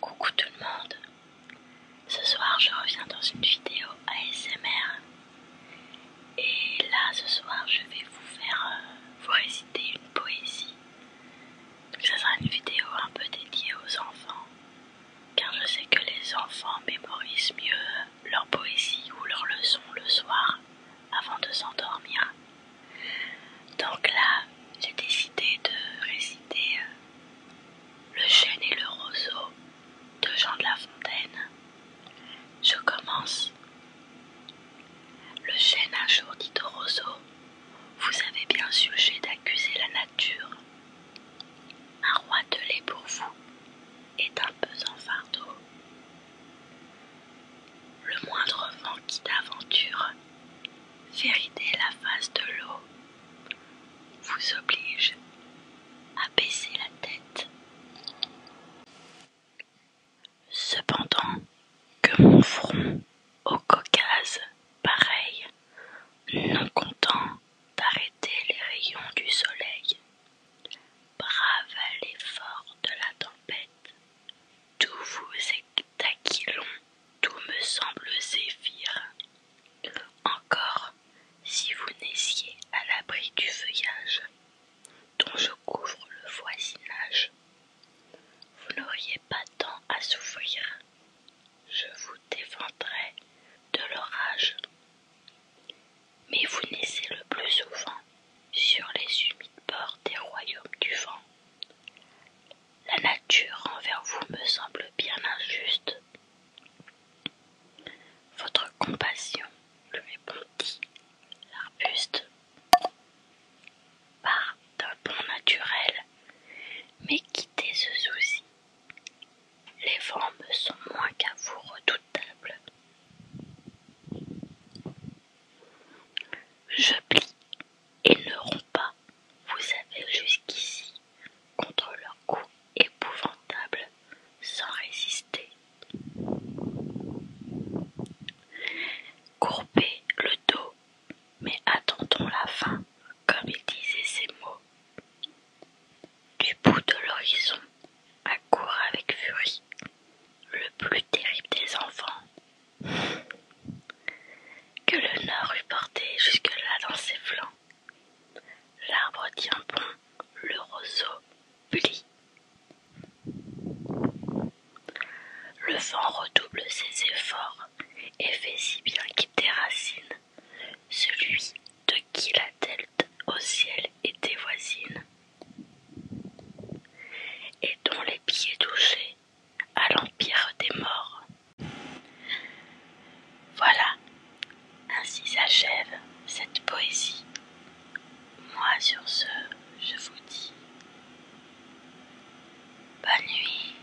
Coucou tout le monde, ce soir je reviens dans une vidéo ASMR et là ce soir je vais vous faire euh, vous réciter une poésie. Donc ça sera une vidéo un peu dédiée aux enfants car je sais que les enfants mémorisent mieux leur poésie ou leur leçon le soir avant de s'endormir. Donc là, j'ai décidé de réciter euh, Le chêne et le roseau de Jean de La Fontaine. Je commence. Le chêne un jour dit au roseau Vous avez bien sujet d'accuser la nature roi Un lait pour vous est un pesant fardeau. Le moindre vent qui d'aventure fait rider la face de l'eau vous oblige à baisser la tête. Cependant que mon front au Caucase, pareil, non content d'arrêter les rayons du soleil, brave à l'effort de la tempête, tout vous est aquilon, tout me semble zéphyr. Encore, si vous naissiez à l'abri du feuillage, dont je couvre le voisinage, vous n'auriez pas tant à souffrir. Je vous défendrai de l'orage. Mais vous naissez le plus souvent sur les humides bords des royaumes du vent. La nature envers vous me semble bien injuste. Votre compassion, le L'arbuste part d'un pont naturel, mais quittez ce souci. Les formes sont moins qu'à vous redoutables. Je plie et ne romps pas. Vous avez jusqu'ici, contre leur coup épouvantable, sans résister, Courbez le dos, mais attendons la fin, comme il disait ces mots. Du bout de l'horizon, accourt avec furie le plus terrible des enfants, que le Nord eût porté jusque-là dans ses flancs. L'arbre tient bon, le roseau plie. Le vent redouble ses efforts et fait si bien qu'il déracine celui de qui la tête au ciel était voisine et dont les pieds touchés à l'empire des morts voilà, ainsi s'achève cette poésie. Moi sur ce, je vous dis bonne nuit.